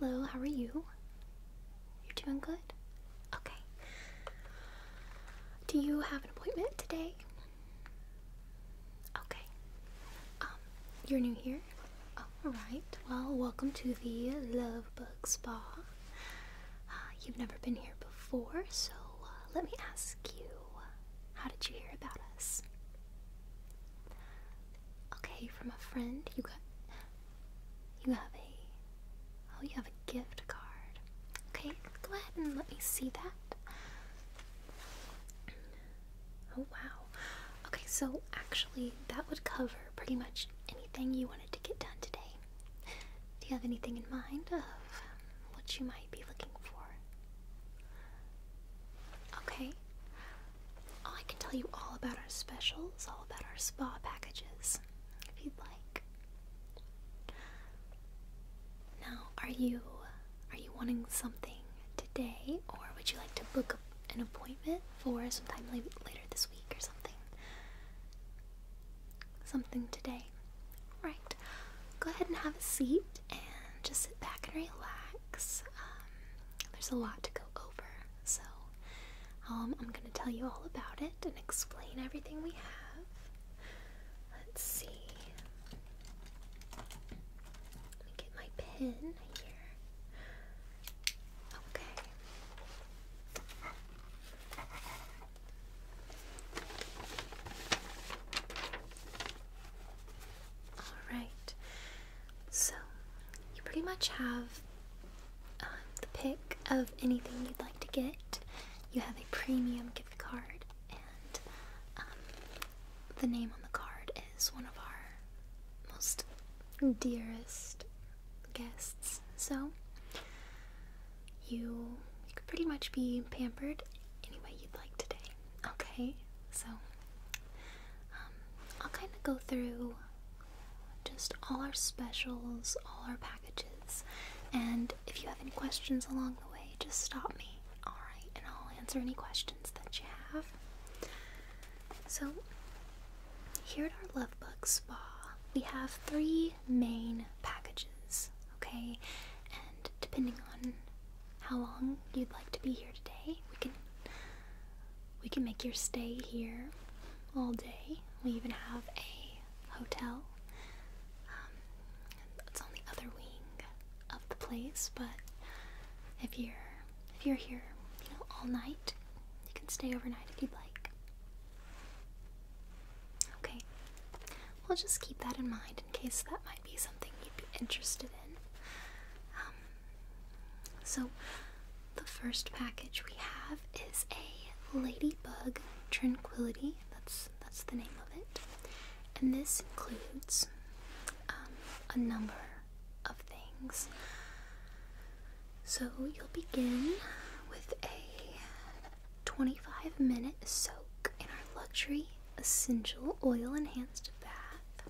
hello, how are you? You're doing good? Okay. Do you have an appointment today? Okay. Um, you're new here? Alright, well, welcome to the Love Bug Spa. Uh, you've never been here before, so uh, let me ask you how did you hear about us? Okay, from a friend. You got. You have a. Oh, you have a gift card. Okay, go ahead and let me see that. Oh wow. Okay, so actually that would cover pretty much anything you wanted to get done today. Do you have anything in mind of um, what you might be looking for? Okay. I can tell you all about our specials, all about our spa packages, if you'd like. Now, are you are you wanting something today or would you like to book an appointment? it for sometime later this week or something. Something today. Right. Go ahead and have a seat and just sit back and relax. Um, there's a lot to go over, so um, I'm going to tell you all about it and explain everything we have. Let's see. Let me get my pen here. Okay. Alright. So, you pretty much have um, the pick of anything you'd like to get. You have a premium gift card and um, the name on the card is one of our most dearest guests, so you, you could pretty much be pampered any way you'd like today. Okay, so um, I'll kind of go through just all our specials, all our packages, and if you have any questions along the way, just stop me, alright? And I'll answer any questions that you have. So, here at our Lovebug Spa, we have three main packages, okay? And depending on how long you'd like to be here today, we can we can make your stay here all day. We even have a hotel. that's um, on the other wing of the place, but if you're if you're here, you know, all night, you can stay overnight if you'd like. Okay. We'll just keep that in mind in case that might be something you'd be interested in. Um, so, the first package we have is a Ladybug Tranquility. That's that's the name of it. And this includes um, a number of things. So you'll begin with a 25 minute soak in our luxury essential oil enhanced bath,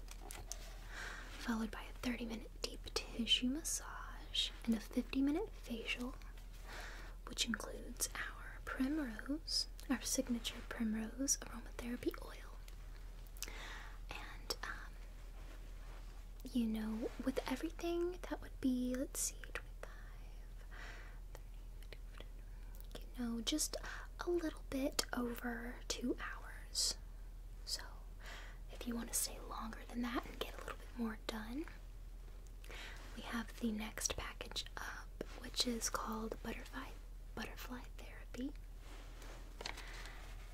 followed by a 30 minute deep tissue massage and a 50 minute facial, which includes our primrose, our signature primrose aromatherapy oil. And um, you know, with everything that would be, let's see, 25, you know, just a little bit over two hours. So if you want to stay longer than that and get a little bit more done, we have the next package up, which is called Butterfly Butterfly Therapy.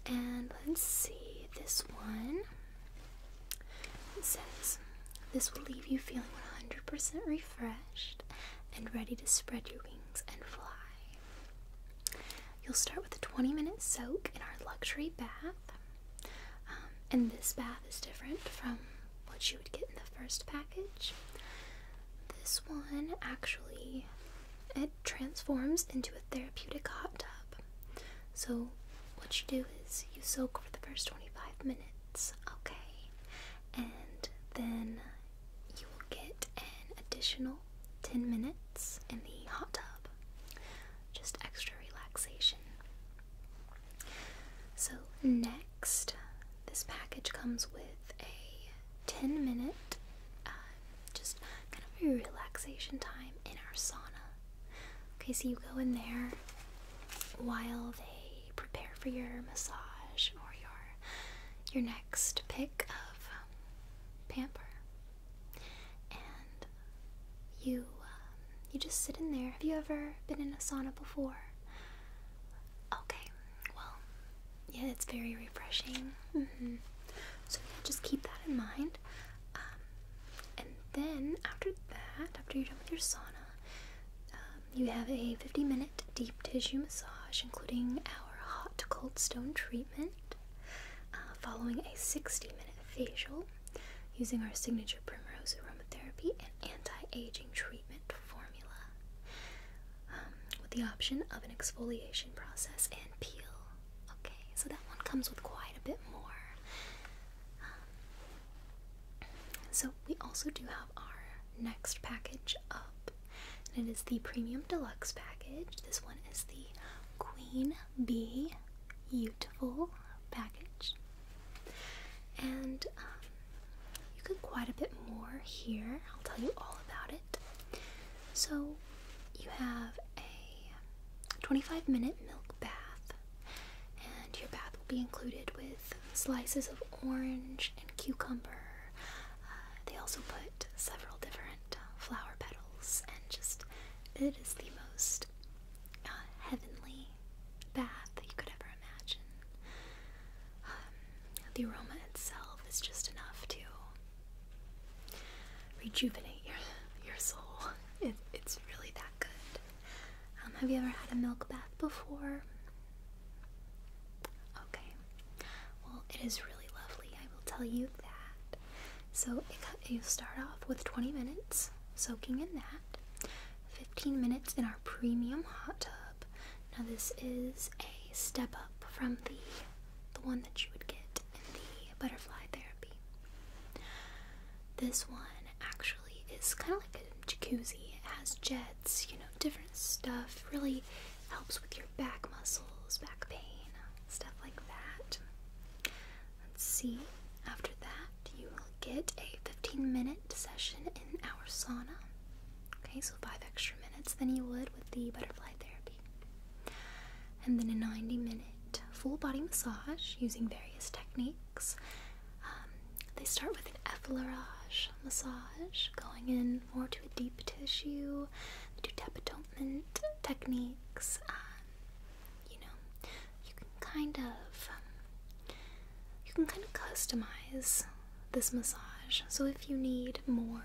And let's see, this one it says, This will leave you feeling 100% refreshed and ready to spread your wings and fly. You'll start with a 20 minute soak in our luxury bath. Um, and this bath is different from what you would get in the first package. This one actually it transforms into a therapeutic hot tub. So, what you do is you soak for the first 25 minutes, okay? And then you will get an additional 10 minutes in the hot tub. Just extra relaxation. So, next, this package comes with a 10 minute uh, just kind of a relaxation time in our sauna. Okay, so you go in there while they prepare for your massage or your your next pick of um, pamper, and you um, you just sit in there. Have you ever been in a sauna before? Okay, well, yeah, it's very refreshing. Mm-hmm. So yeah, just keep that in mind. Um, and then after that, after you're done with your sauna, um, you have a 50 minute deep tissue massage, including our hot cold stone treatment, uh, following a 60 minute facial using our signature primrose aromatherapy and anti aging treatment formula, um, with the option of an exfoliation process and peel. Okay, so that one comes with quite a bit more. Um, so we also do have our next package up, and it is the Premium Deluxe package. This one is the Queen Bee Beautiful package, and um, you get quite a bit more here. I'll tell you all about it. So you have a 25 minute milk bath, and your bath will be included with slices of orange and cucumber. Uh, they also put several different uh, flower petals, and just it is the most uh, heavenly bath that you could ever imagine. Um, the aroma itself is just enough to rejuvenate your your soul. It, it's really that good. Um, have you ever had a milk bath before? Okay. Well, it is really lovely. I will tell you that. So you start off with 20 minutes soaking in that, 15 minutes in our premium hot tub. Now this is a step up from the the one that you would get the butterfly therapy. This one actually is kind of like a jacuzzi. It has jets, you know, different stuff. Really helps with your back muscles, back pain, stuff like that. Let's see. After that, you will get a 15 minute session in our sauna. Okay, so five extra minutes than you would with the butterfly therapy. And then a 90 minute full body massage using various techniques. Um, they start with an effleurage massage, going in more to a deep tissue. They do tapotement techniques. Um, you know, you can kind of um, you can kind of customize this massage. So if you need more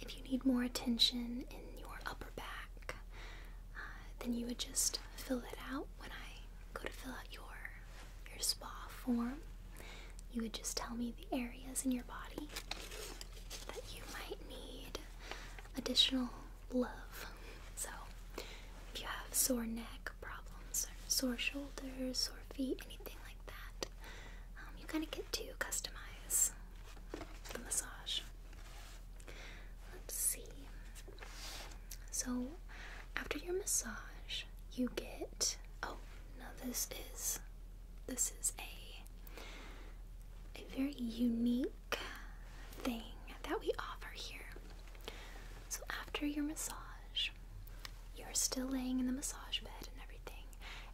if you need more attention in your upper back, uh, then you would just fill it out when I go to fill out your your spa form. You would just tell me the areas in your body that you might need additional love. So, if you have sore neck problems, or sore shoulders, sore feet, anything like that, um, you kind of get to customize the massage. Let's see. So, after your massage, you get. Oh, now this is. This is a. A very unique thing that we offer here. So, after your massage, you're still laying in the massage bed and everything,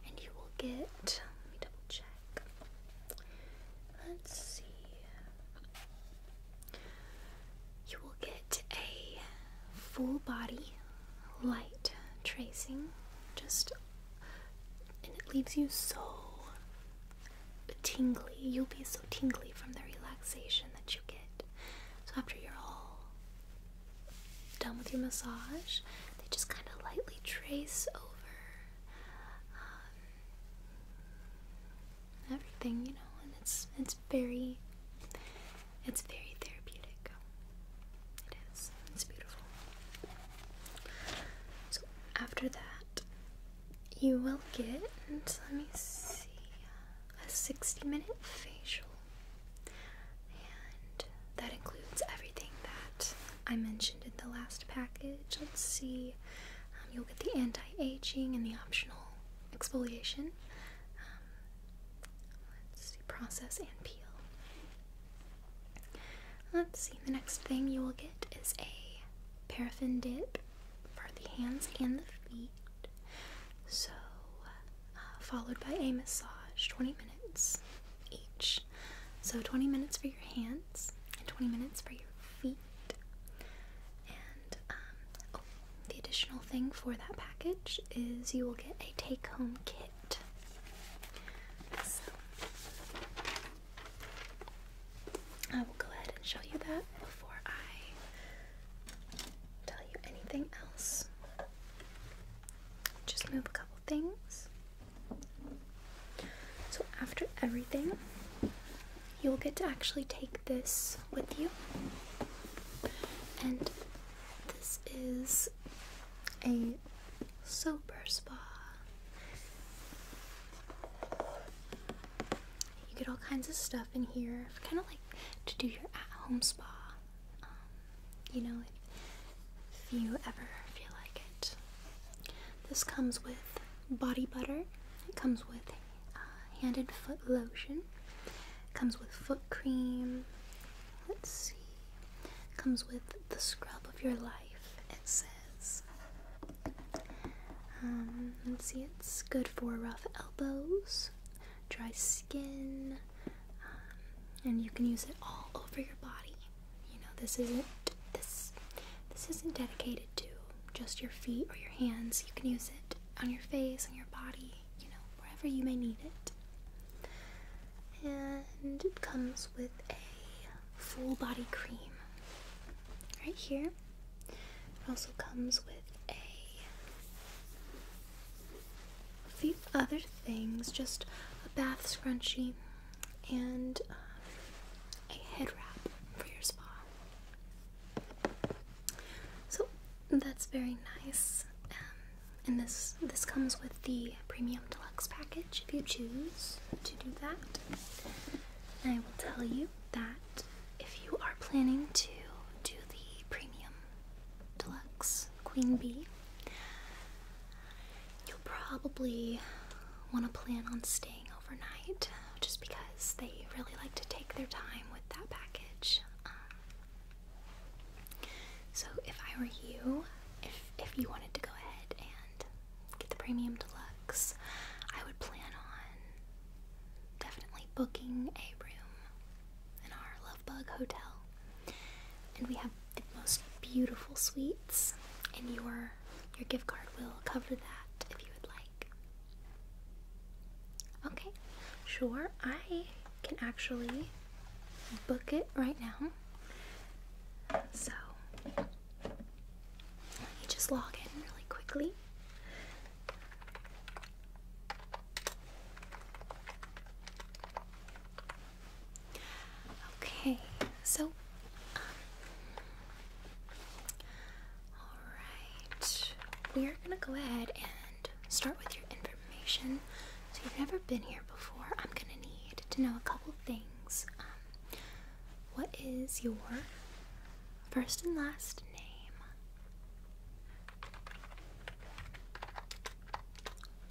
and you will get. Let me double check. Let's see. You will get a full body light tracing, just and it leaves you so tingly. You'll be so tingly from the relaxation that you get. So after you're all done with your massage, they just kind of lightly trace over um, everything, you know, and it's it's very it's very therapeutic. It is. It's beautiful. So after that, you will get let me see a 60 minute facial. And that includes everything that I mentioned in the last package. Let's see, um, you'll get the anti-aging and the optional exfoliation. Um, let's see, process and peel. Let's see, the next thing you will get is a paraffin dip for the hands and the feet. So, uh, followed by a massage, 20 minutes each. So 20 minutes for your hands and 20 minutes for your feet. And um, oh, the additional thing for that package is you will get a take home kit. So I will go ahead and show you that before I tell you anything else. Just move a couple things. So, after everything, you'll get to actually take this with you. And this is a sober spa. You get all kinds of stuff in here, kind of like to do your at home spa. Um, you know, if you ever feel like it. This comes with body butter, it comes with uh, hand and foot lotion, it comes with foot cream. Let's see. It comes with the scrub of your life, it says. Um, let's see, it's good for rough elbows, dry skin, um, and you can use it all over your body. You know, this isn't this this isn't dedicated to just your feet or your hands. You can use it on your face, on your body, you know, wherever you may need it. And it comes with a full body cream right here. It also comes with a, a few other things, just a bath scrunchie, and um, a head wrap for your spa. So that's very nice. Um, and this this comes with the premium deluxe package if you choose to do that. I will tell you that if you are planning to do the premium deluxe queen bee, You'll probably want to plan on staying overnight just because they really like to take their time with that package. Um, so, if I were you, if, if you wanted to go ahead and get the premium deluxe, I would plan on definitely booking a room in our Lovebug Hotel. And we have the most beautiful suites in your your gift card will cover that if you would like. Okay, sure. I can actually book it right now. So, let just log in really quickly. Okay, so um, alright. We are gonna go ahead and start with your information. So you've never been here before. I'm gonna need to know a couple things. Um, what is your first and last name?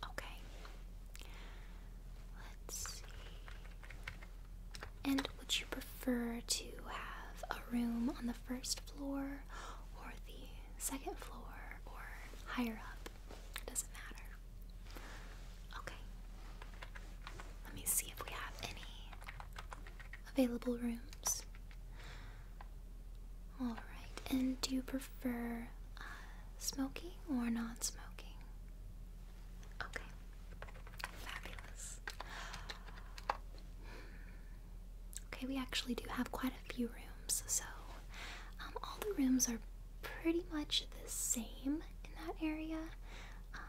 Okay. Let's see. And would you prefer to have a room on the first floor or the second floor or higher up? doesn't matter. Okay. Let me see if we have any available rooms. Alright, and do you prefer uh, smoking or non smoking? Okay. Fabulous. Okay, we actually do have quite a few rooms, so um, all the rooms are pretty much the same in that area. Um,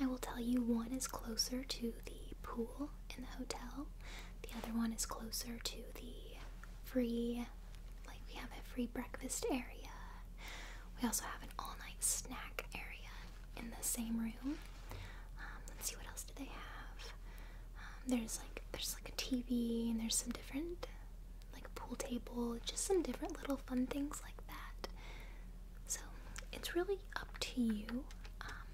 I will tell you one is closer to the pool in the hotel, the other one is closer to the free, like we have a free breakfast area. We also have an all night snack area in the same room. Um, let's see what else do they have. Um, there's like there's like a TV and there's some different like a pool table, just some different little fun things like that. So it's really up to you um,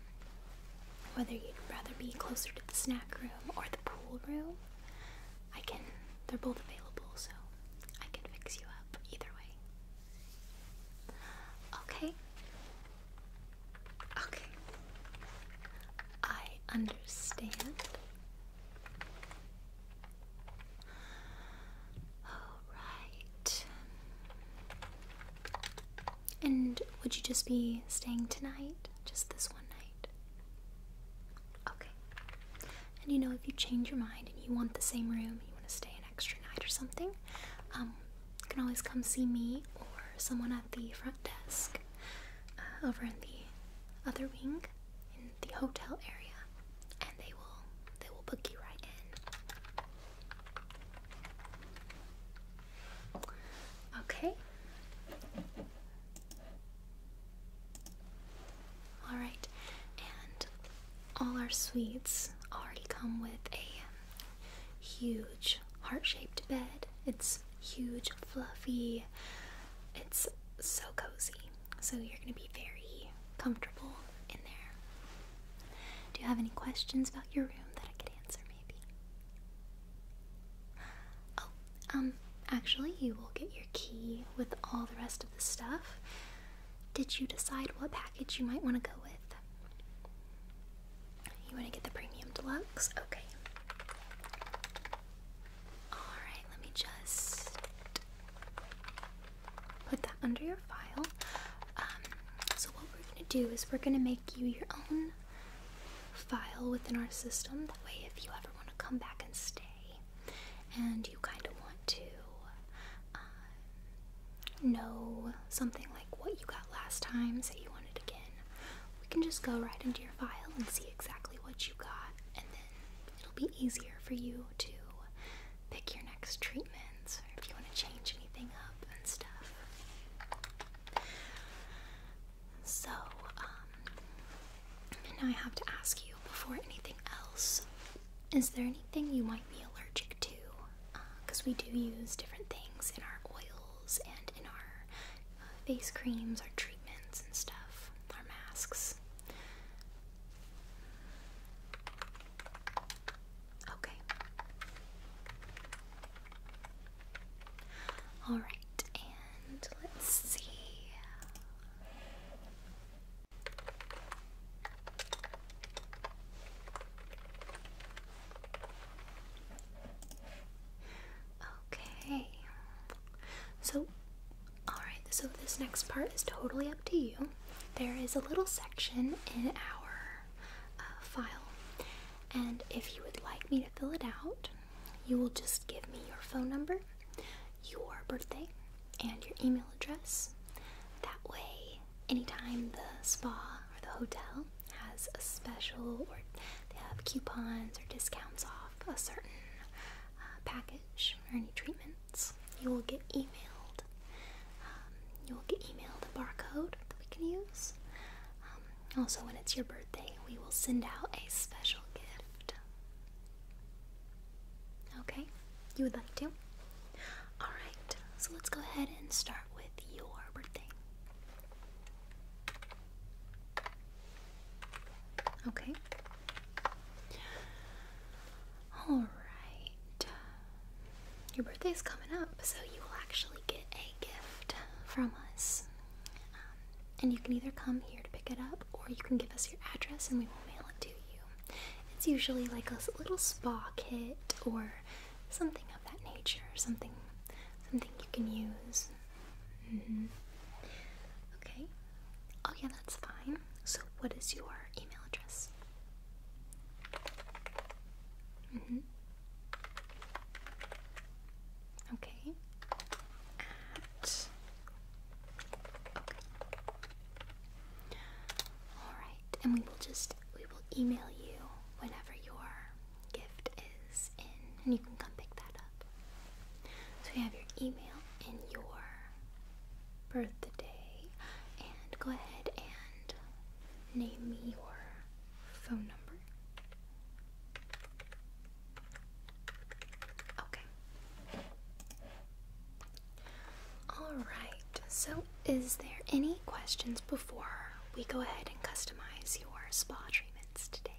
whether you'd rather be closer to the snack room or the pool room. I can, they're both available, so I can fix you up either way. Okay. Okay. I understand. All right. And would you just be staying tonight? Just this one night? Okay. And you know, if you change your mind and you want the same room, you want to stay an extra night or something, um, you can always come see me or someone at the front desk uh, over in the other wing in the hotel area, and they will they will book you right in. Okay. Alright, and all our suites already come with a um, huge heart shaped bed. It's huge, fluffy, it's so cozy. So you're going to be very comfortable in there. Do you have any questions about your room that I could answer, maybe? Oh, um, actually, you will get your key with all the rest of the stuff. Did you decide what package you might want to go with? You want to get the premium deluxe? Okay. Alright, let me just put that under your file. Um, so, what we're going to do is we're going to make you your own file within our system. That way, if you ever want to come back and stay, and you kind of want to um, know something like what you got last time, say you want it again, we can just go right into your file and see exactly what you got, and then it'll be easier for you to pick your next treatments or if you want to change anything up and stuff. So, um, now I have to ask you before anything else is there anything you might be allergic to? Because uh, we do use different things in our oils and in our uh, face creams, our treatments and stuff, our masks. Okay. Alright, and let's see. Okay. So, alright, so this next part is totally up to you. There is a little section in our uh, file, and if you would like me to fill it out, you will just give me your phone number, your birthday, and your email address. That way, anytime the spa or the hotel has a special or they have coupons or discounts off a certain uh, package or any treatments, you will get emailed. Um, you will get emailed a barcode that we can use. Um, also, when it's your birthday, we will send out a special gift. Okay? You would like to? Alright, so let's go ahead and start with your birthday. Okay. Alright. Your birthday is coming up, so you will actually get a gift from us. Um, and you can either come here to pick it up or you can give us your address and we will mail it to you. It's usually like a little spa kit or something of that nature, something something you can use. Mm-hmm. Okay. Oh yeah, that's fine. So what is your email address? Mm-hmm. Okay. At okay. All right, and we will just we will email you whenever your gift is in, and you can come pick that up. So you have your email and your birthday, and go ahead and name me your phone number. Okay. Alright, so is there any questions before we go ahead and customize your spa treatments today?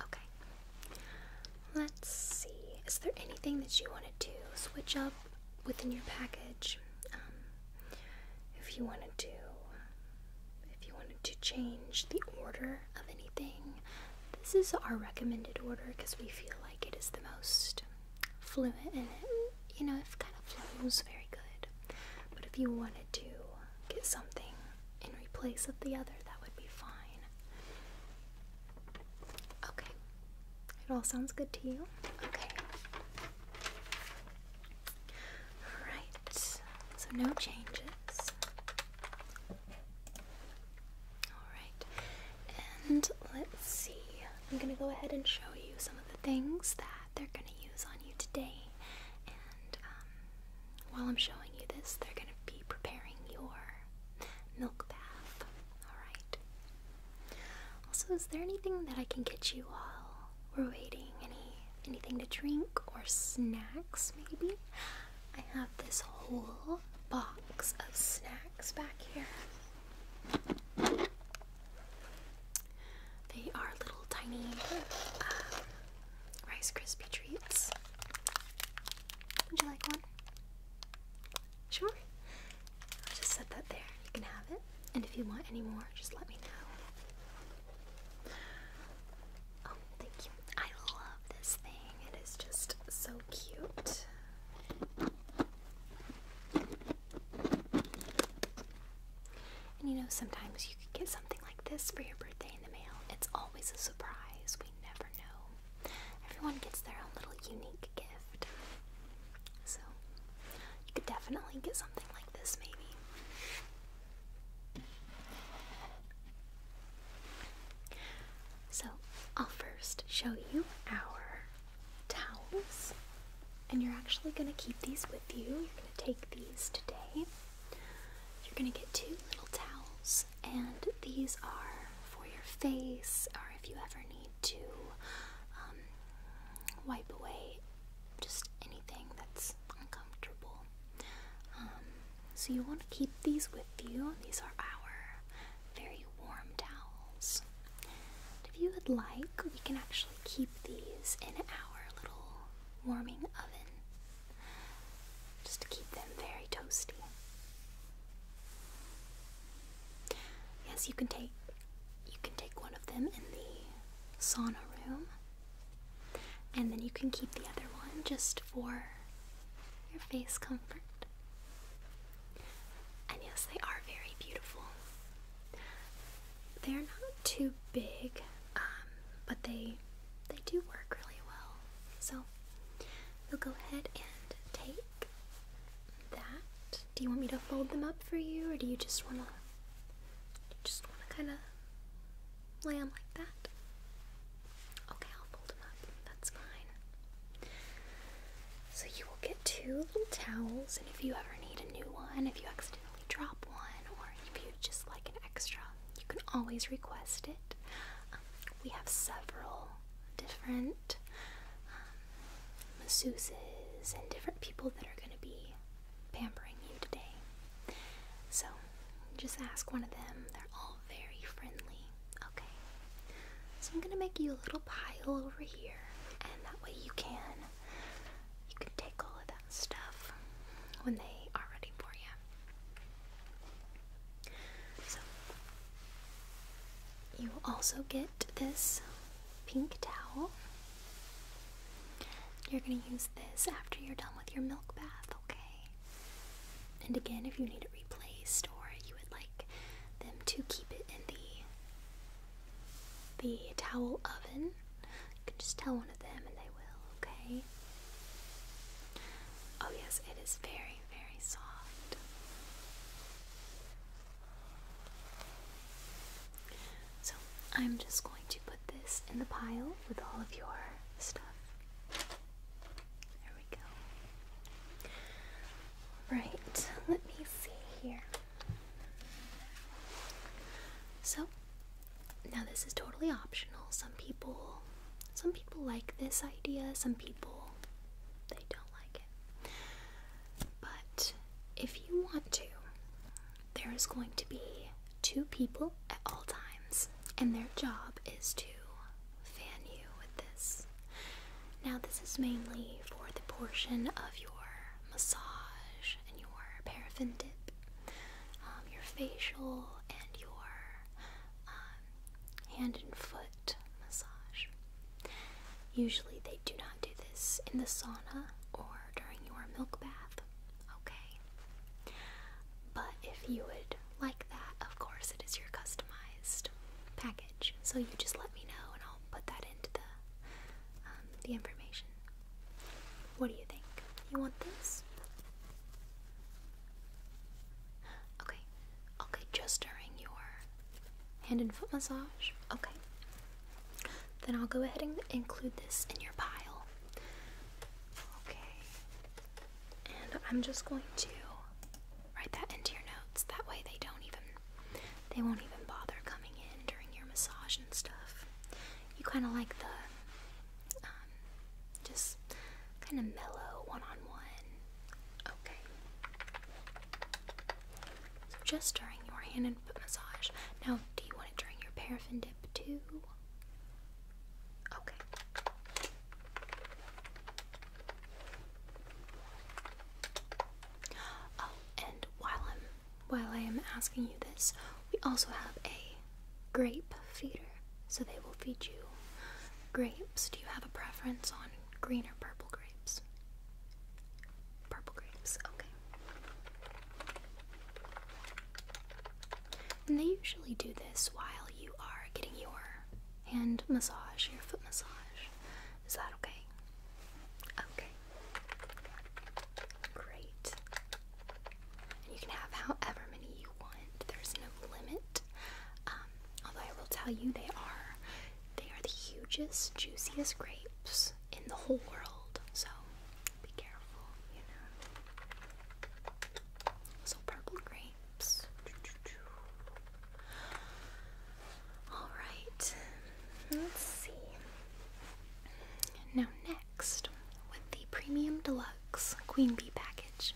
Okay, let's see. Is there anything that you wanted to switch up within your package? Um, if you wanted to, if you wanted to change the order of anything, this is our recommended order because we feel like it is the most fluid in it, you know, it kind of flows very good. But if you wanted to get something in replace of the other, that would be fine. Okay. It all sounds good to you? Okay. Right. So no changes. Alright, and let's see. I'm gonna go ahead and show you some of the things that they're gonna use on you today. And um, while I'm showing you this, they're gonna be preparing your milk bath. Alright. Also, is there anything that I can get you while we're waiting? Any anything to drink or snacks maybe? I have this whole box of snacks back here. They are little tiny um, Rice Krispie treats. Would you like one? Sure. I'll just set that there. You can have it. And if you want any more, just let me know. Oh, thank you. I love this thing. It is just so cute. And you know, sometimes you could get something like this for your birthday in the mail. It's always a surprise. We never know. Everyone gets their own little unique gift. So, you could definitely get something like this, maybe. So, I'll first show you our towels, and you're actually going to keep these with you. You're going to take these today. You're going to get two little towels, and these are for your face, or if you ever need to um, wipe away just anything that's uncomfortable. Um, so you want to keep these with you. These are our very warm towels. If you would like, we can actually keep these in our little warming oven just to keep them very toasty. Yes, you can take you can take one of them in the sauna room. And then you can keep the other one just for your face comfort. And yes, they are very beautiful. They're not too big, um, but they they do work really well. So we'll go ahead and take that. Do you want me to fold them up for you, or do you just wanna just wanna kind of lay them like that? Okay, I'll fold them up. That's fine. So you will get two little towels, and if you ever need a new one, if you accidentally drop one, or if you just like an extra, you can always request it. Um, we have several different um, masseuses and different people that are going to be pampering you today. So just ask one of them. They're all very friendly. Okay. So I'm gonna make you a little pile over here, and that way you can you can take all of that stuff when they are ready for you. So you also get this pink towel. You're gonna use this after you're done with your milk bath, okay? And again, if you need it replaced or you would like them to keep it in the the towel oven. You can just tell one of them and they will, okay? Oh, yes, it is very, very soft. So, I'm just going to put this in the pile with all of your stuff. There we go. Right, let me see here. So, now this is totally optional. Some people some people like this idea, some people they don't like it. But if you want to, there is going to be two people at all times, and their job is to fan you with this. Now, this is mainly for the portion of your massage and your paraffin dip, um, your facial, and your um, hand and foot massage. Usually, they do not do this in the sauna or during your milk bath, okay? But if you would like that, of course, it is your customized package. So you just let me know, and I'll put that into the um, the information. What do you think? You want this? Okay. Okay, just during your hand and foot massage. Okay. Then I'll go ahead and include this in your pile. Okay. And I'm just going to write that into your notes. That way they don't even they won't even bother coming in during your massage and stuff. You kind of like the um, just kind of mellow one on one. Okay. So just during your hand and foot massage. Now, do you want it during your paraffin dip too? Okay. Oh, and while I'm while I am asking you this, we also have a grape feeder, so they will feed you grapes. Do you have a preference on green or purple grapes? Purple grapes, okay. And they usually do this while you are getting your hand massage, your foot massage. Is that okay? Okay. Great. And you can have however many you want. There's no limit. Um, although I will tell you, they are they are the hugest, juiciest grapes in the whole world. So be careful, you know. So purple grapes. Alright, let's see. Now, next, with the Premium Deluxe Queen Bee package,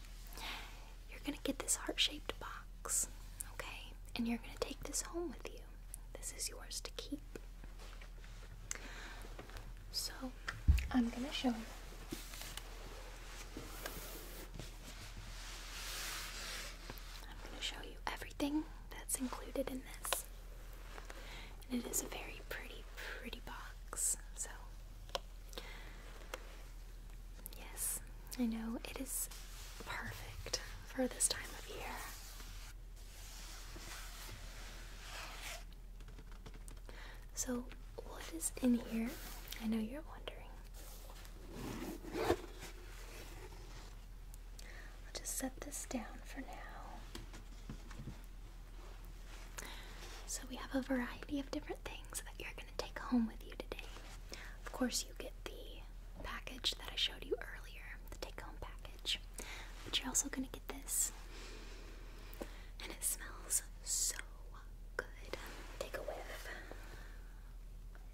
you're gonna get this heart shaped box, okay? And you're gonna take this home with you. This is yours to keep. So, I'm gonna show you. I'm gonna show you everything everything that's included in this. And it is a very pretty, pretty box. So, yes, I know it is perfect for this time of year. So, what is in here? I know you're wondering. I'll just set this down for now. So, we have a variety of different things that you're going to take home with you today. Of course, you get the package that I showed you earlier, the take home package. But you're also going to get this. And it smells so good. Take a whiff.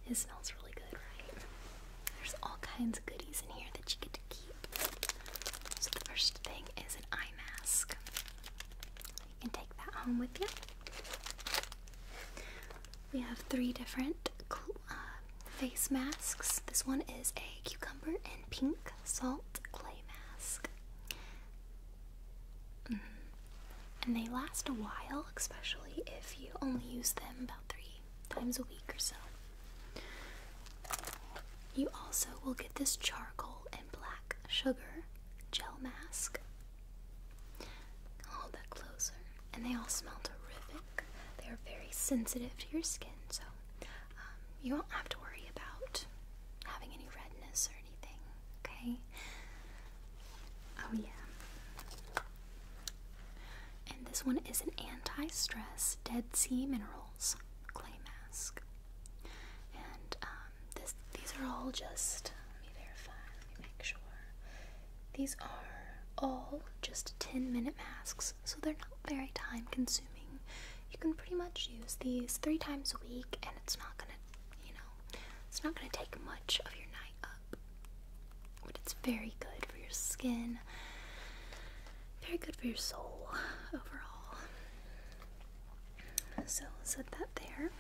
It smells really good, right? There's all kinds of goodies in here that you get to keep. So the first thing is an eye mask. You can take that home with you. We have three different uh, face masks. This one is a cucumber and pink salt clay mask. Mm-hmm. And they last a while, especially if you only use them about three times a week or so. You also will get this charcoal and black sugar gel mask. hold that closer. And they all smell terrific. They are very sensitive to your skin, so um, you won't have to worry about having any redness or anything, okay? Oh, yeah. And this one is an anti stress Dead Sea Minerals clay mask. And um, these are all just, let me verify, let me make sure. These are all just 10 minute masks, so they're not very time consuming. You can pretty much use these three times a week, and it's not gonna, you know, it's not gonna take much of your night up but it's very good for your skin, very good for your soul overall. So, set that there.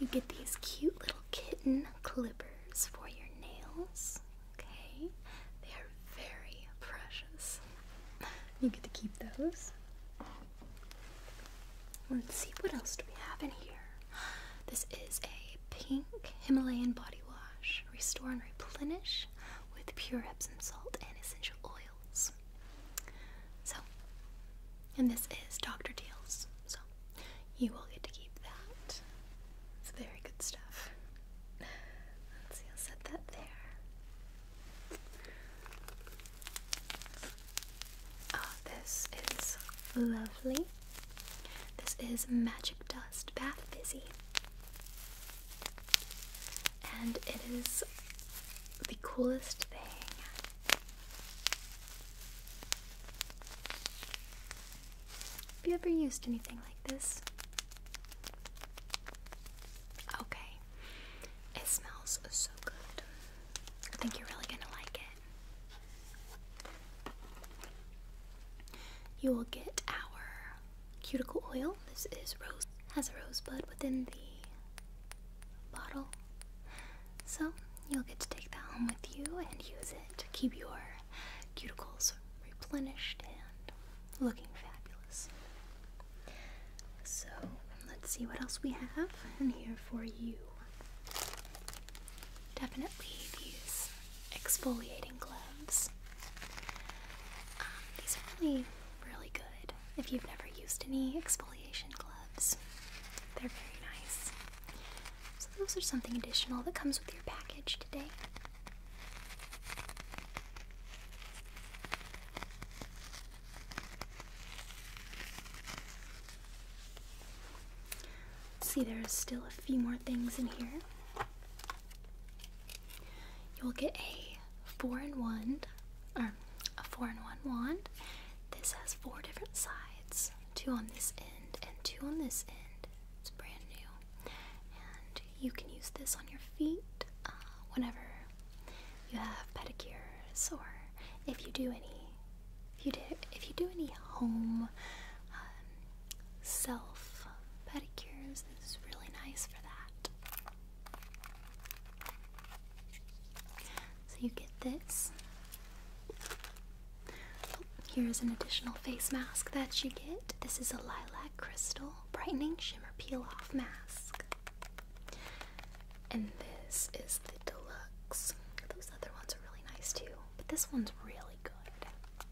You get these cute little kitten clippers for your nails. Okay, they are very precious. You get to keep those. Let's see what else do we have in here. This is a pink Himalayan body wash. Restore and replenish with pure Epsom salt and essential oils. So, and this is Dr. Deals. So, you will get to keep that. It's very good stuff. Let's see, I'll set that there. Oh, this is lovely. This is Magic Dust Bath Fizzy. And it is the coolest thing. Have you ever used anything like this? Okay. It smells so good. I think you're really gonna like it. You will get our cuticle oil. This is rose has a rosebud within the bottle. So you'll get to take that home with you and use it to keep your cuticles replenished and looking fabulous. So let's see what else we have in here for you. Definitely these exfoliating gloves. Um, these are really, really good if you've never used any exfoliation gloves. They're very nice. So, those are something additional that comes with your package today. See, there's still a few more things in here. You will get a four-in-one, or a four-in-one wand. This has four different sides: two on this end and two on this end. It's brand new, and you can use this on your feet uh, whenever you have pedicures, or if you do any, if you do, if you do any home um, self pedicures. is really nice for that. So you get this. Oh, Here's an additional face mask that you get. This is a lilac crystal brightening shimmer peel off mask. And this is the deluxe. Those other ones are really nice too, but this one's really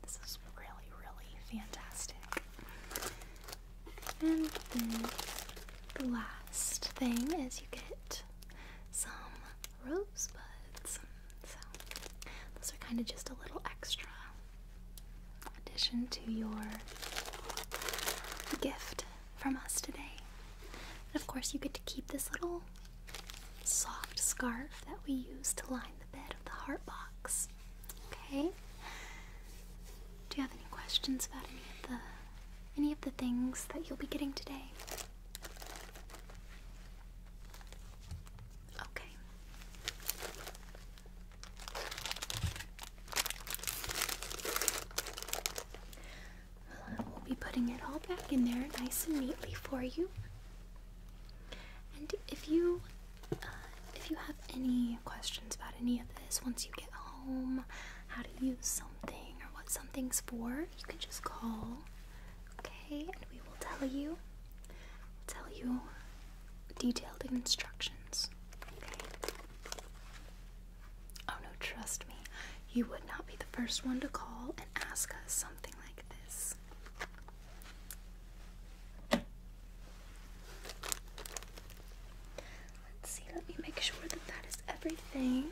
this is really, really fantastic. And the last thing is you get some rosebuds. So those are kind of just a little extra addition to your gift from us today. And of course, you get to keep this little soft scarf that we use to line the bed of the heart box. Okay. Do you have any questions about any of the any of the things that you'll be getting today? Okay. Well, we'll be putting it all back in there nice and neatly for you. And if you uh, if you have any questions about any of this once you get home, how to use something or what something's for, you can just call, okay? And we will tell you, we'll tell you detailed instructions, okay? Oh no, trust me, you would not be the first one to call and ask us something like this. Let's see, let me make sure that that is everything.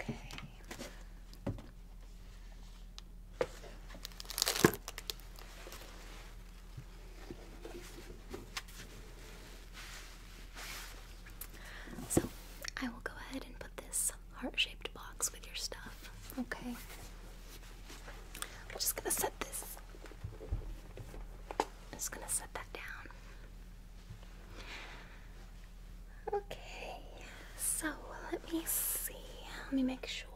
Okay. So, I will go ahead and put this heart shaped box with your stuff. Okay. I'm just gonna set this. I'm just gonna set that down. Okay, so let me see. Let me make sure.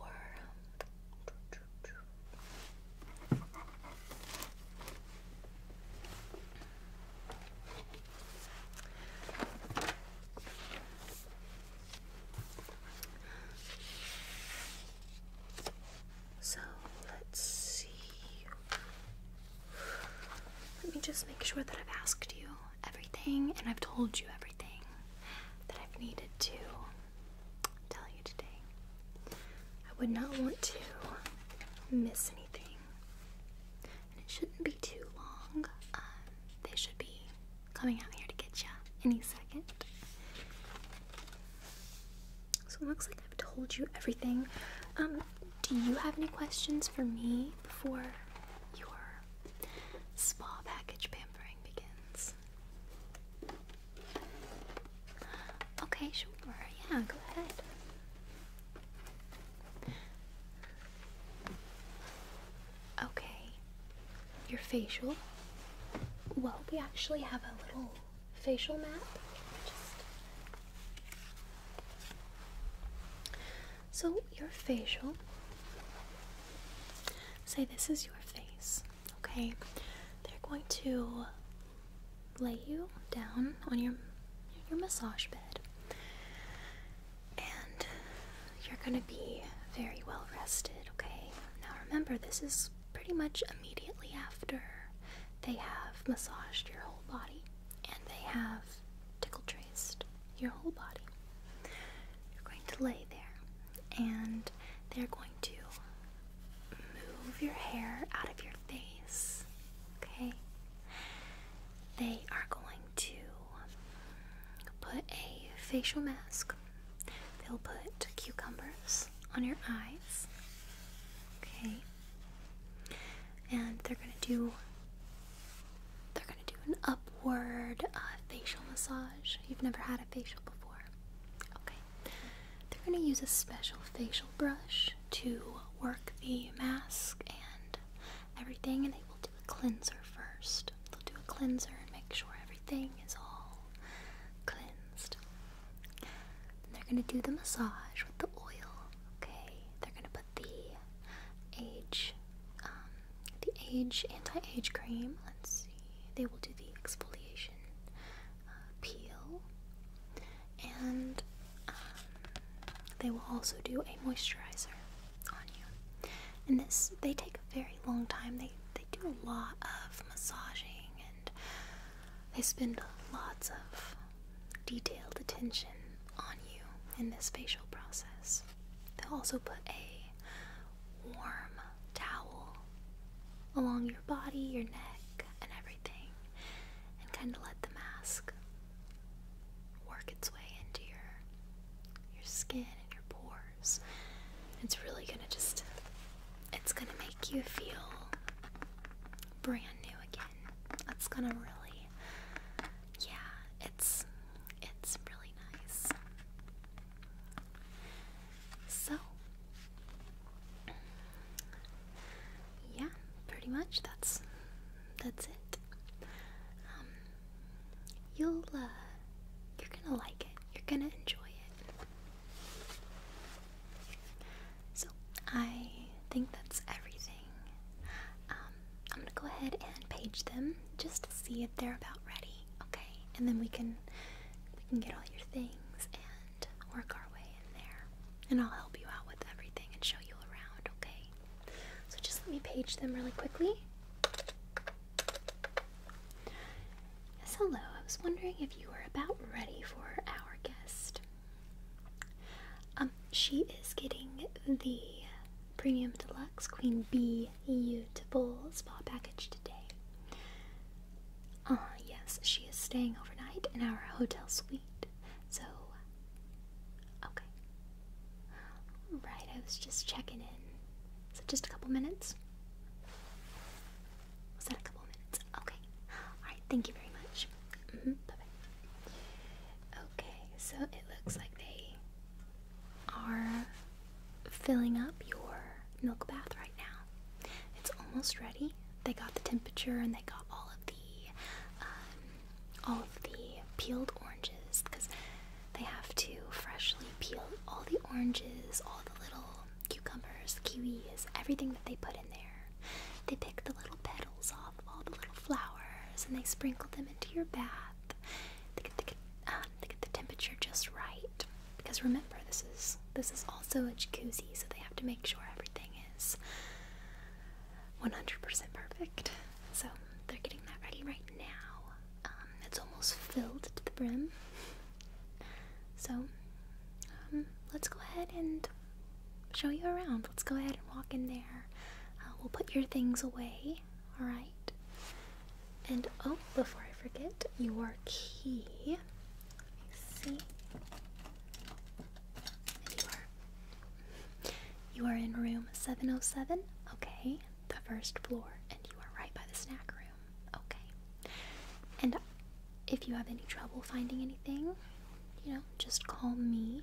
So let's see. Let me just make sure that I've asked you everything and I've told you everything that I've needed to tell you today. I would not want to miss anything. And it shouldn't be too long. Uh, they should be coming out here to get you any second. So it looks like I've told you everything. Um, do you have any questions for me before your spa package pampering begins? Okay, sure. Yeah, go ahead. Okay. Your facial. Well, we actually have a little facial map. So, your facial. Say this is your face, okay? They're going to lay you down on your your massage bed. And you're gonna be very well rested, okay? Now remember, this is pretty much immediately after they have massaged your whole body and they have tickle traced your whole body. You're going to lay there and they're going to move your hair out of your face, okay? They are going to put a facial mask They'll put cucumbers on your eyes. Okay. And they're gonna do they're gonna do an upward uh, facial massage. You've never had a facial before. Okay. They're gonna use a special facial brush to work the mask and everything and they will do a cleanser first. They'll do a cleanser and make sure everything is all cleansed. they're going to do the massage with the oil. Okay, they're going to put the age, um, the age anti-age cream. Let's see. They will do the exfoliation uh, peel, and um, they will also do a moisturizer on you. And this, they take a very long time. They they do a lot of massaging and they spend lots of detailed attention on you in this facial process. They'll also put a warm towel along your body, your neck, and everything, and kind of let the mask work its way into your your skin and your pores. It's really gonna just, it's gonna make you feel brand new again. It's gonna really, yeah, it's, it's really nice. So, yeah, pretty much that's, that's it. Um, you'll, uh, you're gonna like it. You're gonna enjoy it. So I think that's everything. Um, I'm gonna go ahead and page them just to see if they're about ready. Okay, and then we can we can get all your things and work our way in there. And I'll help you out with everything and show you around. Okay. So just let me page them really quickly. Yes, hello. I was wondering if you were about ready for our guest. Um, she is getting the Premium Deluxe Queen Bee Beautiful Spa Package today. Ah, yes, she is staying overnight in our hotel suite. So, okay. Right, I was just checking in. So, just a couple minutes. Was that a couple minutes? Okay. Alright, thank you very much. Mm-hmm, okay, so it looks like they are filling up your milk bath right now. It's almost ready. They got the temperature and they got all of the um, all of the peeled oranges because they have to freshly peel all the oranges, all the little cucumbers, kiwis, everything that they put in there. They pick the little petals off of all the little flowers and they sprinkle them into your bath. Um, they get, the temperature just right. Because remember, this is this is also a jacuzzi, so they have to make sure everything is 100% perfect. So they're getting that ready right now. Um, um, it's almost filled to the brim. So, um, let's go ahead and show you around. Let's go ahead and walk in there. Uh, we'll put your things away, alright? And oh, before I forget, your key. Let me see. You are in room 707. Okay, the first floor, and you are right by the snack room. Okay. And if you have any trouble finding anything, you know, just call me.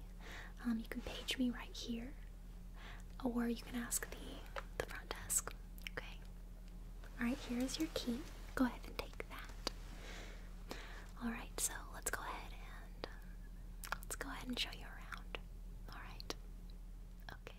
Um, you can page me right here, or you can ask the the front desk. Okay. All right. Here is your key. Go ahead and take that. All right. So let's go ahead and let's go ahead and show you around. All right. Okay.